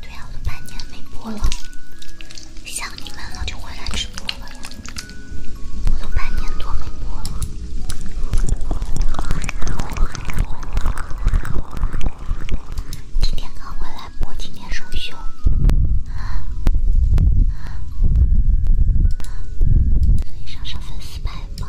对呀，我都半年没播了，想你们了就回来直播了呀。我都半年多没播了，今天刚回来播，今天首秀，可以上上粉丝牌吗？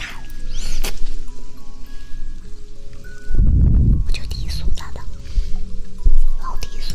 我就低俗咋的，老低俗。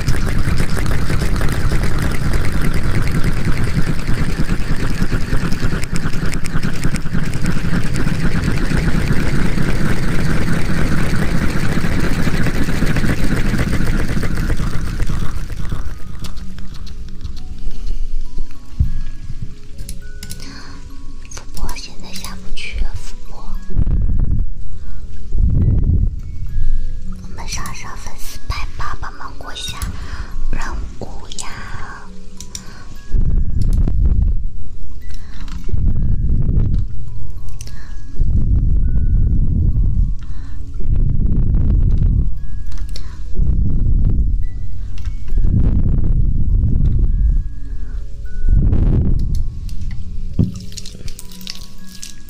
主播现在下不去，主播。我们上上粉丝牌吧，帮忙过一下让姑呀。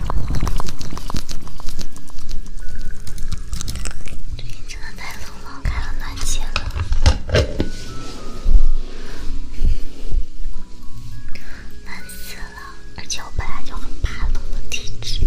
对，真的太冷了，开了暖气了，冷死了。而且我本来就很怕冷的体质。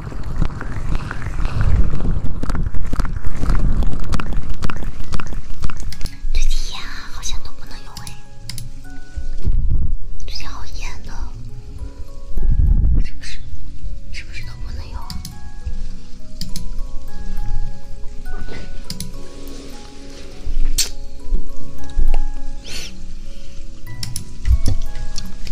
最近烟好像都不能用哎，最近好烟的，是不是？是不是都不能用？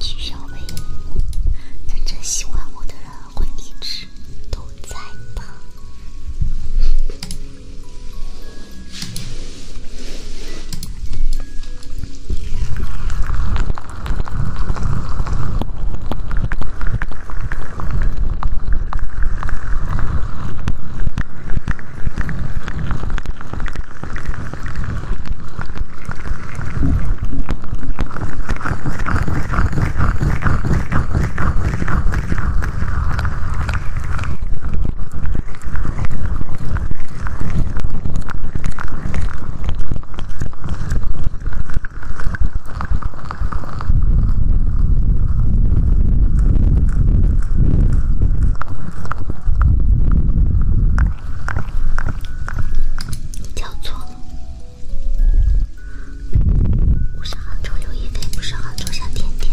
取消呗！真正喜欢我的人会一直都在吧。你叫错了。我是杭州刘亦菲，不是杭州小甜甜。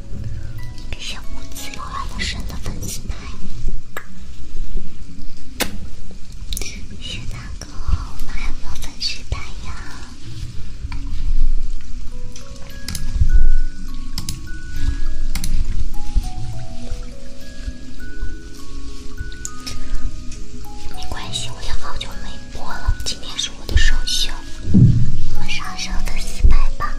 感谢无字永远的神的粉丝牌，谢谢大哥，我们还有粉丝牌呀，没关系，我也好久没。播了，今天是我的首秀，我们上的四百八。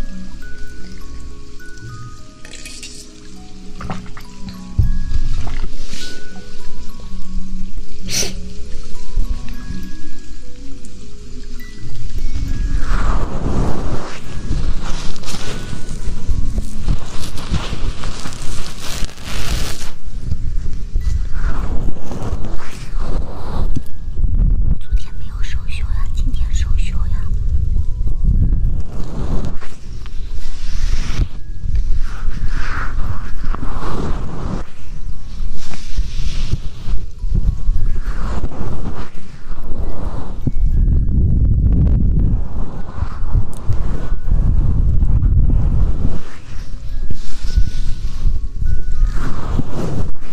昨天没有休休呀，今天休休呀。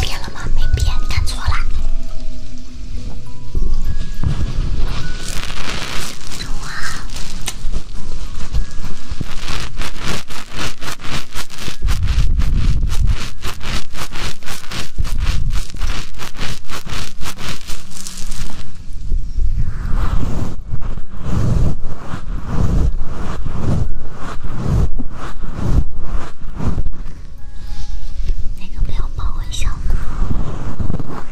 变了吗？没变，看错啦。哇！哪个朋友帮我一下？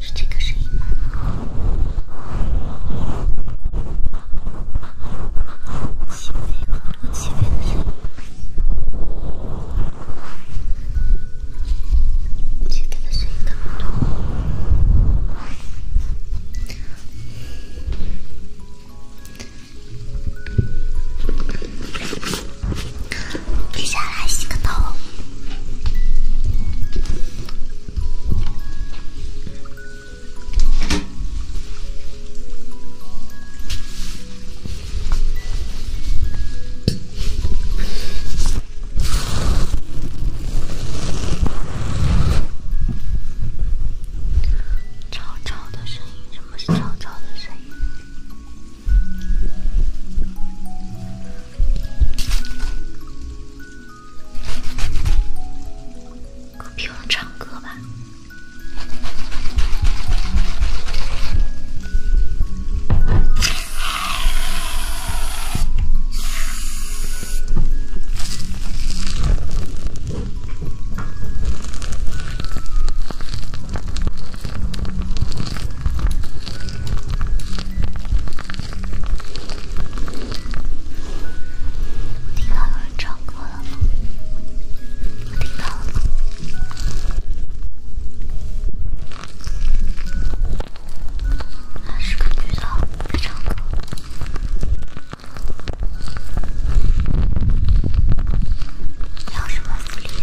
是这个声音吗？起飞好多起飞的声音，起飞的声音特别多。接下来洗个头。吵吵的声音，什么是吵吵的声音？不用唱歌吧。听到有人唱歌了吗？我听到了，那是个女的在唱歌。要什么福利呀？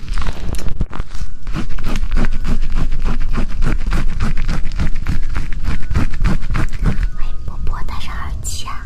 哎，波波，带上耳机啊！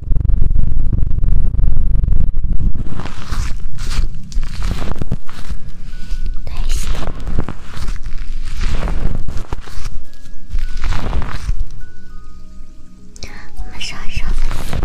太行，我们上一上飞机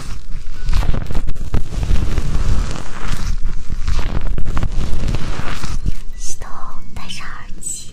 系统，戴上耳机。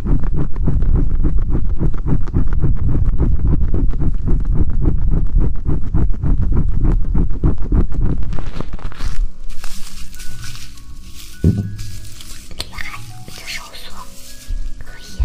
厉害，这收缩可以。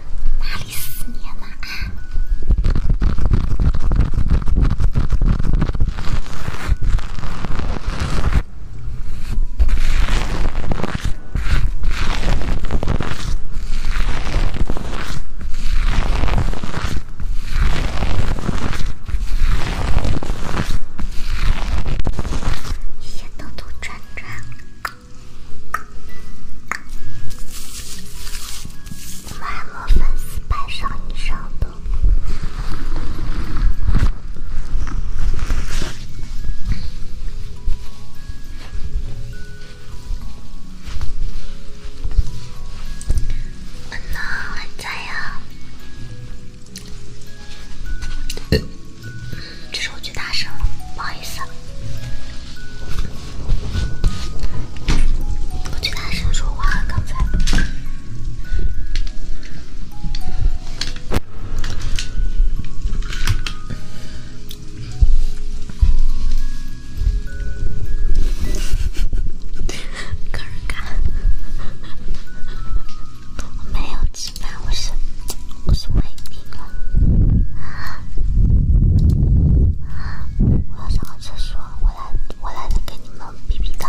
哪里思念了？啊！一天到头转转。我爱我粉丝百上以上的。这是我最大声了，不好意思，我最大声说话刚才。个人干，我没有气。我是我是胃病了，我要上个厕所，我来我来来给你们比比刀。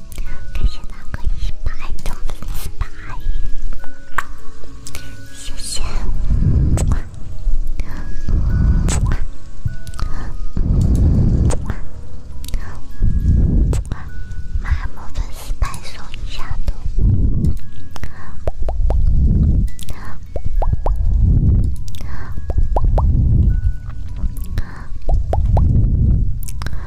感谢那个一百的粉丝牌，谢谢。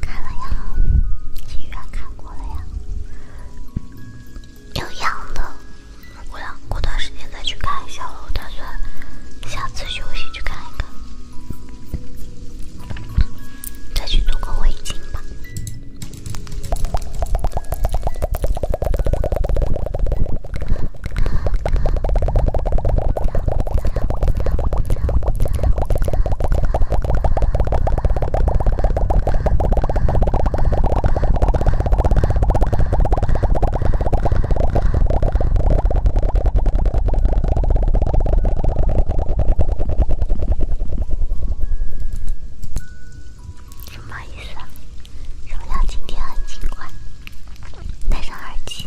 看了呀，影院看过了呀，有养的。我想过段时间再去看一下了，我打算下次休息去看一看，再去做个围巾吧。什么意思？什么叫今天很勤快，戴上耳机。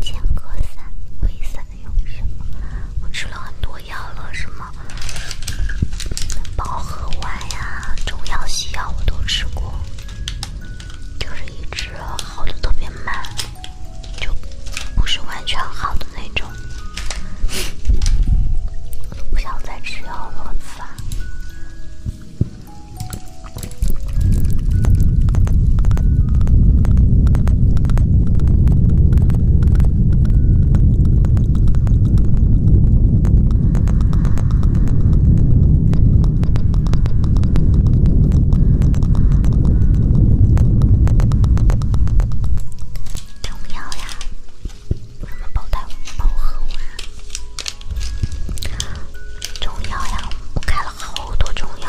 间隔三，为什么？我吃了很多药了，什么保和丸呀，中药西药我都吃过，就是一直好的特别慢，就不是完全好的那种，不想再吃药了，烦。重要呀！什么宝黛宝和黛？中药呀，我开了好多中药。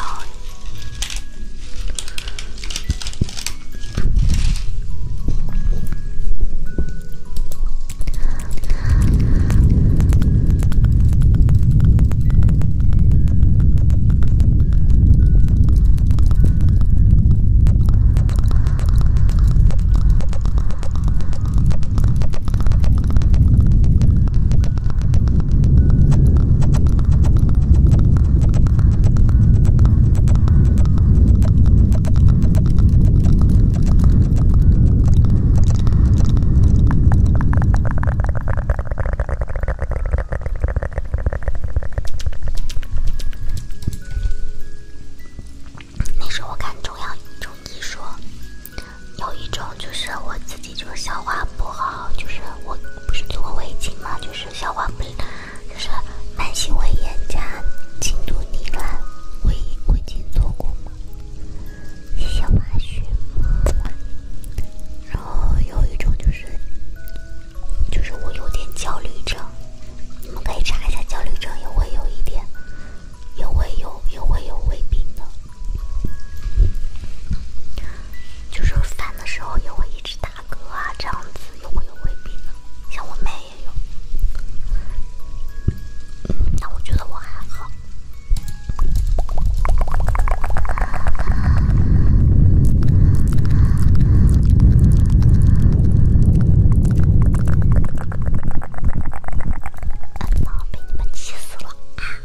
那时候我看中药，中医说。有一种就是我自己就是消化不好，就是我不是做过胃镜嘛，就是消化不，就是慢性胃炎加轻度糜烂，胃胃镜做过吗？消化虚。然后有一种就是，就是我有点焦虑症，你们可以查一下焦虑症也会有一点，也会有也会有胃病的。就是饭的时候也会一直打嗝啊，这样子又会有胃病，像我妹也有，但我觉得我还好。啊！被你们气死了啊！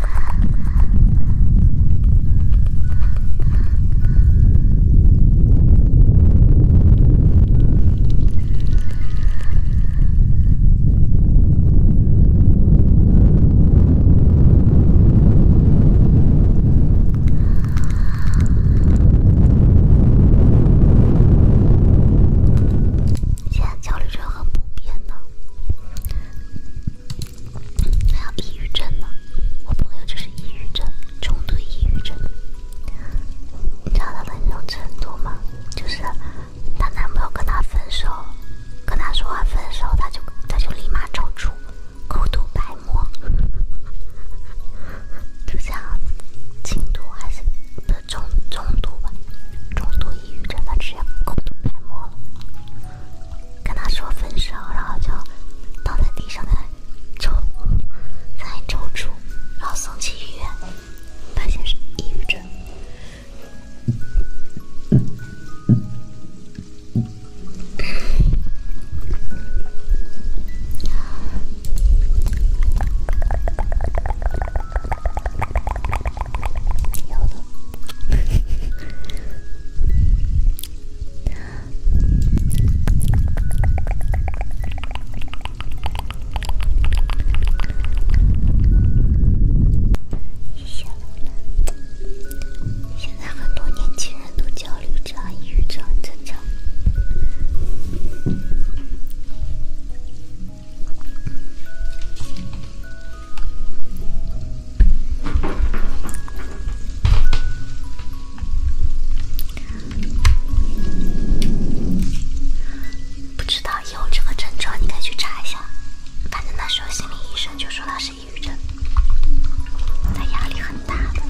现在交流就很不便呢。还有抑郁症呢，我朋友就是抑郁症，重度抑郁症，你知道他的那种程度吗？就是她男朋友跟她分手，跟她说话分手，她就她就立马抽搐，口吐白沫，就像轻度还是重重度吧，重度抑郁症，她直接口吐白沫了。跟他说分手，然后就倒在地上，的抽在抽搐，然后送去医院，发现是抑郁症。谢谢老板。现在很多年轻人都焦虑症、抑郁症、很正常。不知道，有这个症状你可以去查一下。反正那时候心理医生就说他是抑郁症，他压力很大的。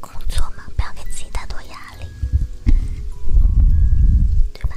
工作嘛，不要给自己太多压力，对吧？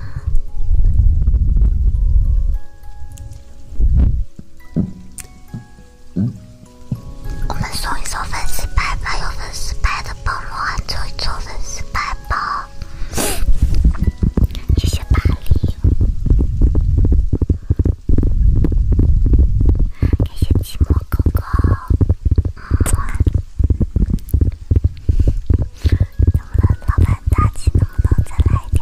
我们送一首粉丝牌吧，有粉丝牌的宝罗汉，做一做粉丝牌吧。谢谢巴黎，感谢寂寞狗狗。怎么了，老板大气，能不能再来点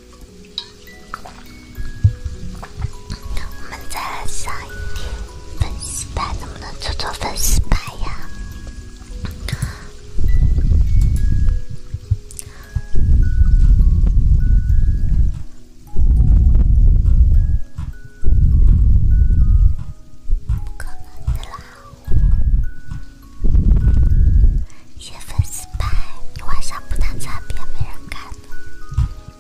我们再来上一点粉丝牌，能不能做做粉丝牌呀？不可能的啦！写粉丝牌，你晚上不拿在别没人看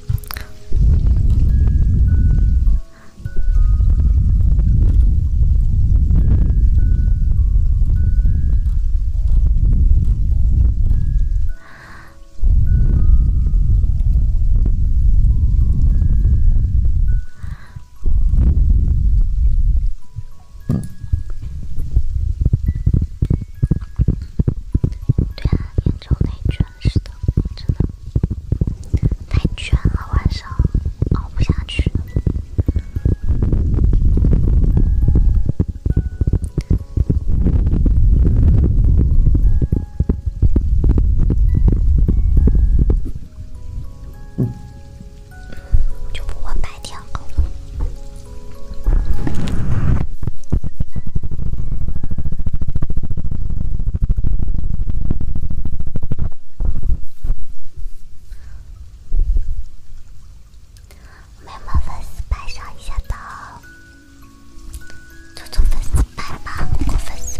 对啊，严重内卷。是的，真的太卷了，晚上熬不下去。嗯，就不怕白天熬了。没有粉丝牌上一下的，做做粉丝吧，粉丝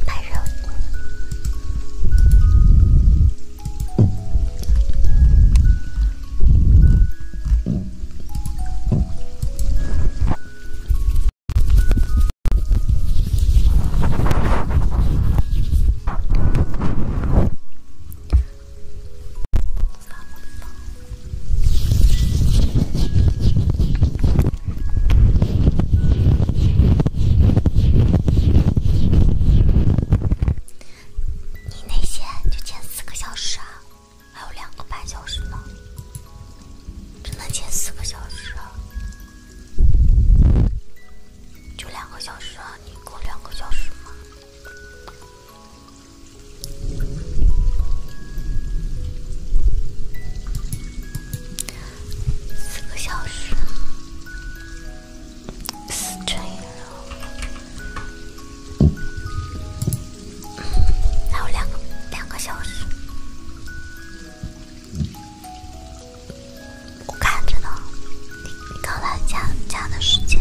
你那些就剪四个小时啊？还有两个半小时呢，只能切四个小时，就两个小时啊！你够两个小时吗？四个小时，四乘以六。还有两个两个小时，我看着呢，你刚来加加的时间。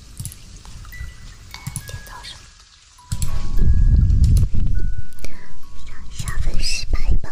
今天早上，上下分失败吧。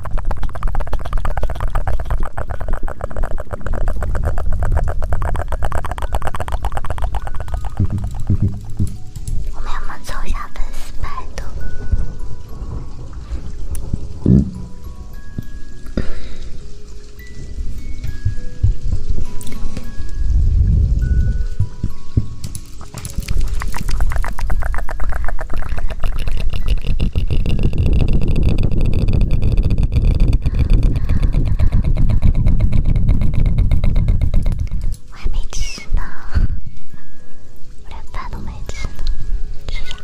我们有没有凑一下粉丝白度？我还没吃呢，我连饭都没吃呢，吃啥？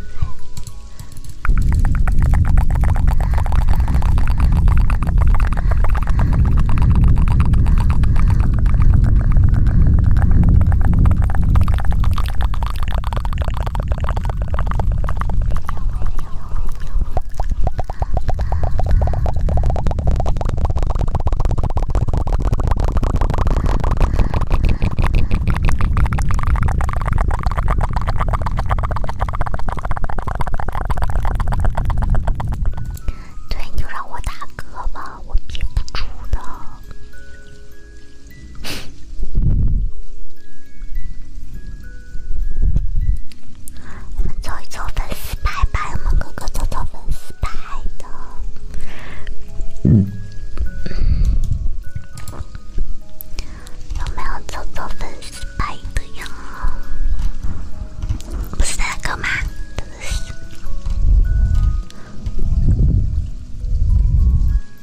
对，你就让我打嗝吧，我憋不住的。我们抽一抽粉丝牌吧，我们哥哥抽到粉丝牌的，嗯，有没有抽到粉丝牌的呀？不是那个吗？真的是。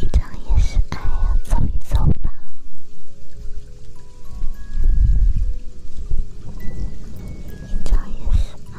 一张也是爱呀，走一走吧，一张也是爱。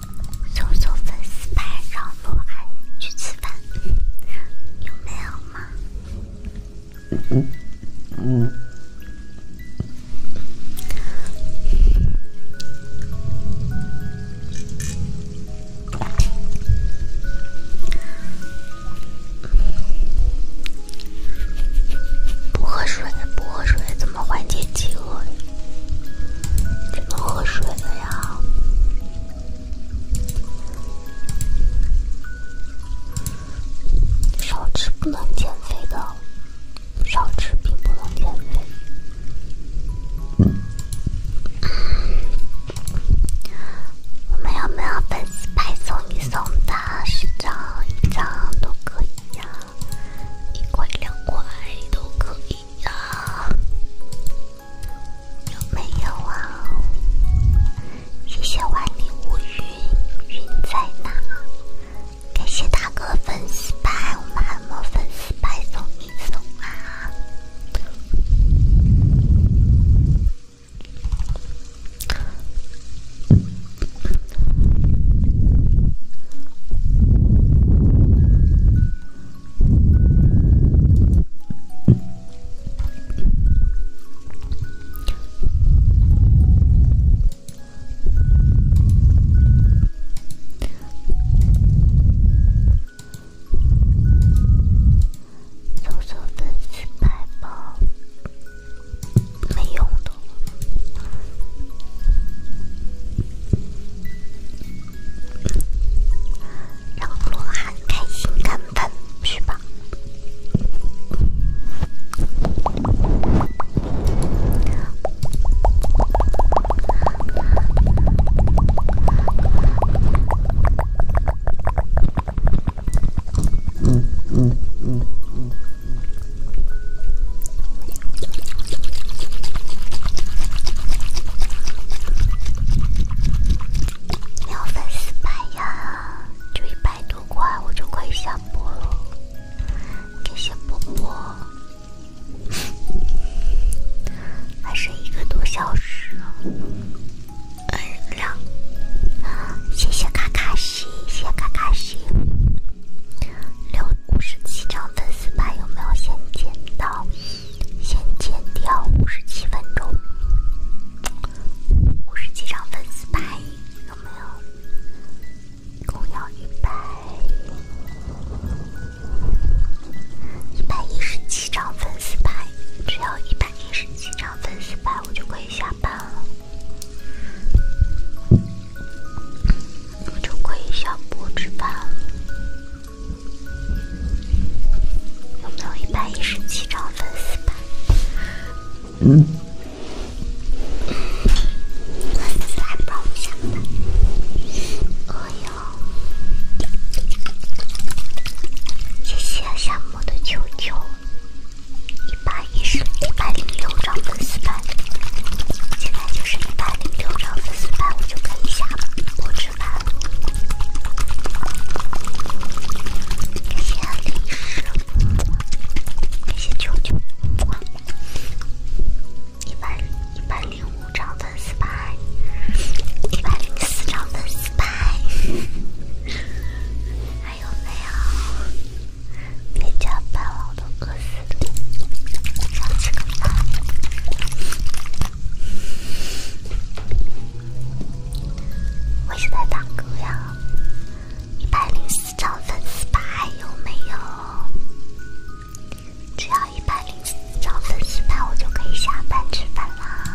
搜送粉丝牌，让鹿你去吃饭，有没有吗？嗯嗯。不喝水，不喝水，怎么缓解饥饿？只能喝水了呀！少吃不能减肥的，少吃并不能减肥。我们有没有粉丝牌送一送的？十张、一张都可以呀，一块、两块都可以。有？有没有啊？谢谢万里无云，云在哪？感谢大哥粉丝牌，我们按摩粉丝牌送礼送啊！搜索粉丝牌包，没用的。让罗汉开心看粉去吧。嗯嗯嗯嗯。没有粉丝白呀，就一百多块，我就可以下播了。谢谢波波，还剩一个多小时，哎，两，谢谢卡卡西，谢谢卡卡西，五十七张粉丝牌有没有？先剪到，先剪掉五十七分钟。五十七张粉丝牌有没有？一共要一百一百一十七张粉丝牌，只要一百一十七张粉丝牌，我就可以下班了，我就可以下播吃饭了。有没有一百一十七张粉丝牌？下吧！哎谢谢夏的球球，一百一十一百零六张粉丝牌，现在就是一百。一百零张粉丝牌，我就可以下了。我吃饭了。谢李师，感谢舅舅。一百一百零五张粉丝牌，一百零张粉丝牌，还有没有？别加班了，都快！我是在打歌呀，一百零四兆粉丝吧，还有没有？只要一百零四兆粉丝吧，我就可以下班吃饭啦。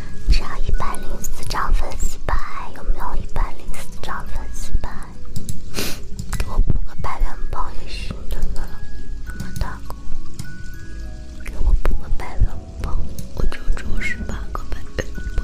只要一百零四张粉丝牌，有没有一百零四张粉丝牌？给我补个百元包也行，对了，那么大个，给我补个百元包，我就中十八个百元包。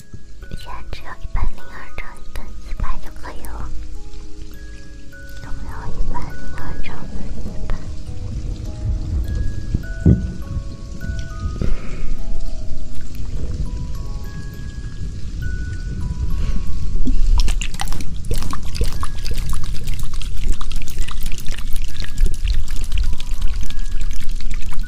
现在只要一百零二张一百四百就可以了，有没有一百零二张四百？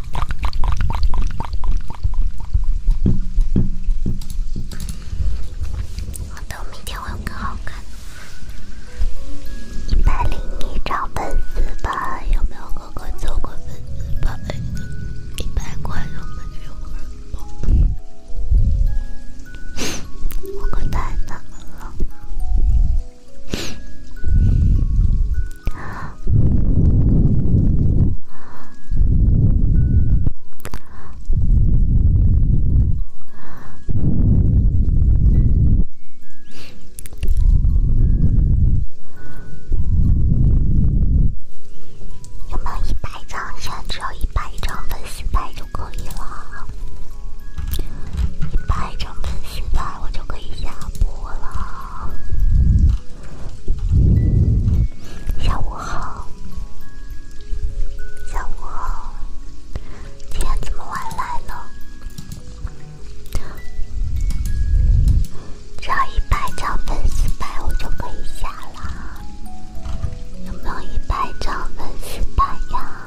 好的，明天会有更好看。一百零一张粉丝吧，有没有哥哥凑个粉丝吧？一百块有没有人吗？我可太难了。有要满一百张，现在只要一百张粉丝牌就可以了。一百张粉丝牌，我就可以下播了。下午好，下午好，今天怎么晚来了？只要一百张粉丝牌，我就可以下了。有没有一百张粉丝牌呀？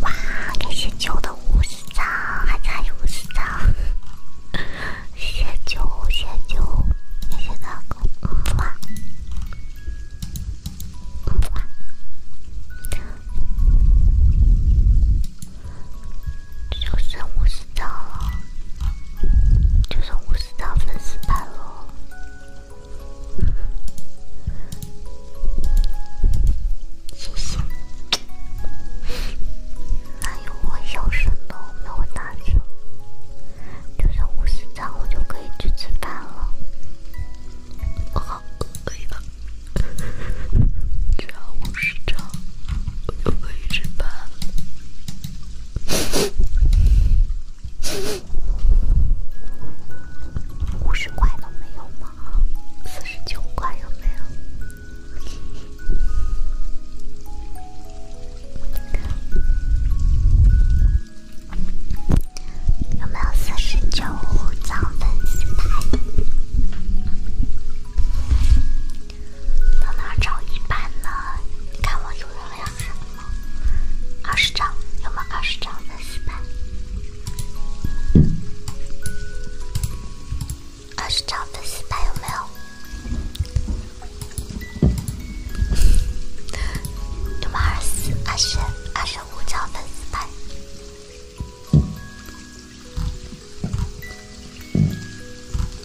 哇！感谢九的五十张，还差五十张。谢 谢九，谢谢九，谢谢大哥，嗯就剩我死张了，就剩我死张粉丝牌了，谢谢。哪有我小声的，没有大声。就算五十张，我就可以去吃饭了。我好饿呀！只要五十张，我就可以吃饭了。五十块都没有吗？四十九块有没有？有没有四十九张粉丝牌？到哪找一版呢？你看我有人量吗？二十张，有没有二十张粉丝牌？二十张粉丝牌有没有？六八二四二十二十五张粉丝牌，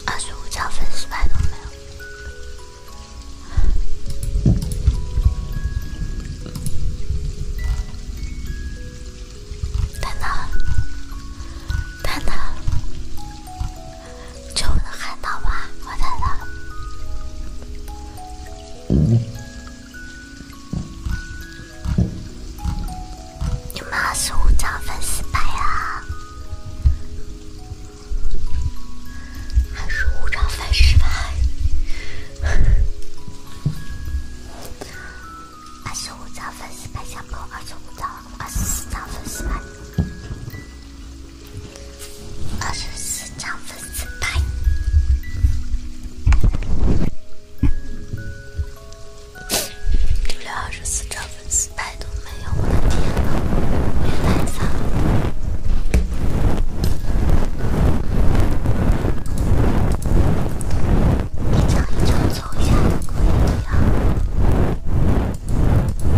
二十五张粉丝牌都没有。太难了，太难了。就能看到吧？我看到了。你们二十五张粉丝牌啊，还是五张粉丝牌？二十五张粉丝牌，加不二十五张？二十四张粉丝牌？二十四张粉丝牌，就连二十四张粉丝牌都没有，我的天我也太惨了，一张一张走，一下可以一样。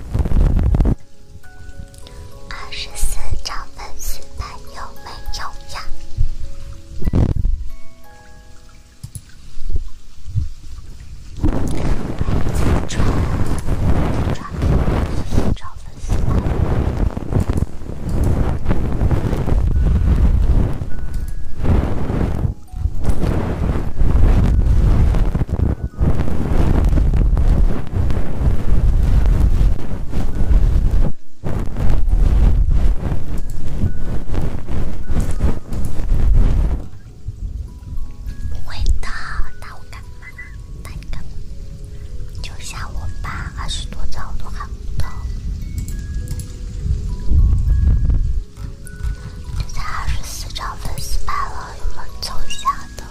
二十四张粉丝牌有没有呀？抓抓抓！一张粉丝牌。不会的，打我干嘛？打你干嘛？就像我吧，二十多招都喊不到。这才二十四张粉丝牌了，我们凑一下的。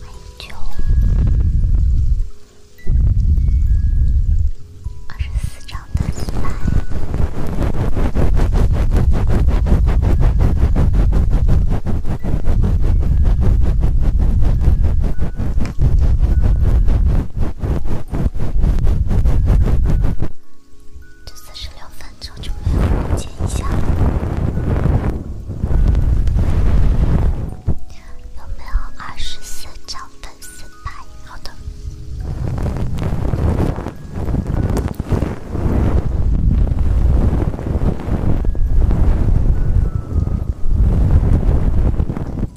欢迎九，二十四张粉丝牌。这四十分钟就没有梦见一下了，有没有二十张粉四牌？好的，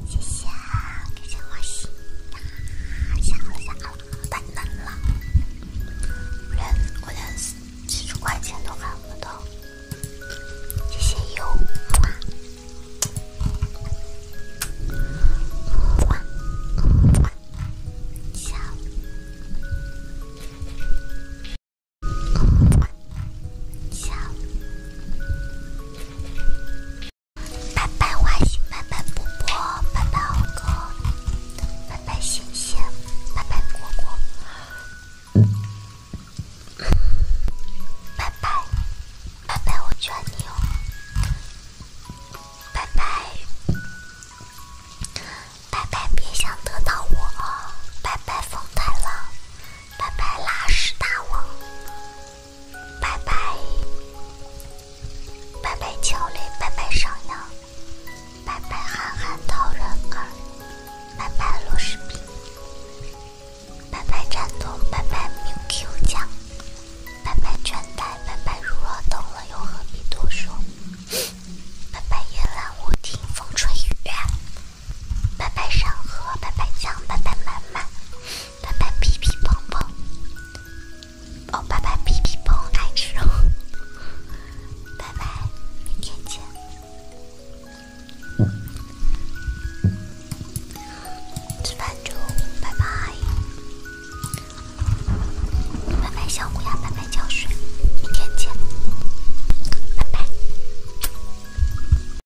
谢谢。笑，感谢我喜，笑了笑了，太难了，我连我连基础关卡都看不懂。谢谢油，么么，么么，拜拜花心，拜拜波波，拜拜豪哥，拜拜谢谢。拜拜果果，拜拜，拜拜我劝你哦，拜拜，拜拜别想得到我，拜拜风太浪。拜拜拉屎大王。拜拜，拜拜，焦虑，拜拜，上扬，拜拜，憨憨讨人儿，拜拜，罗士兵，拜拜，战斗，拜拜，米 Q 酱，拜拜，倦怠，拜拜，如若懂了，又何必多说？拜拜，夜阑卧听风吹雨。拜拜，山河！拜拜，江！拜拜，妈妈！拜拜，皮皮蓬蓬！哦，拜拜，皮皮蓬爱吃肉。拜拜，明天见。吃饭就拜拜！拜拜，小乌鸦，拜拜，浇水。明天见，拜拜。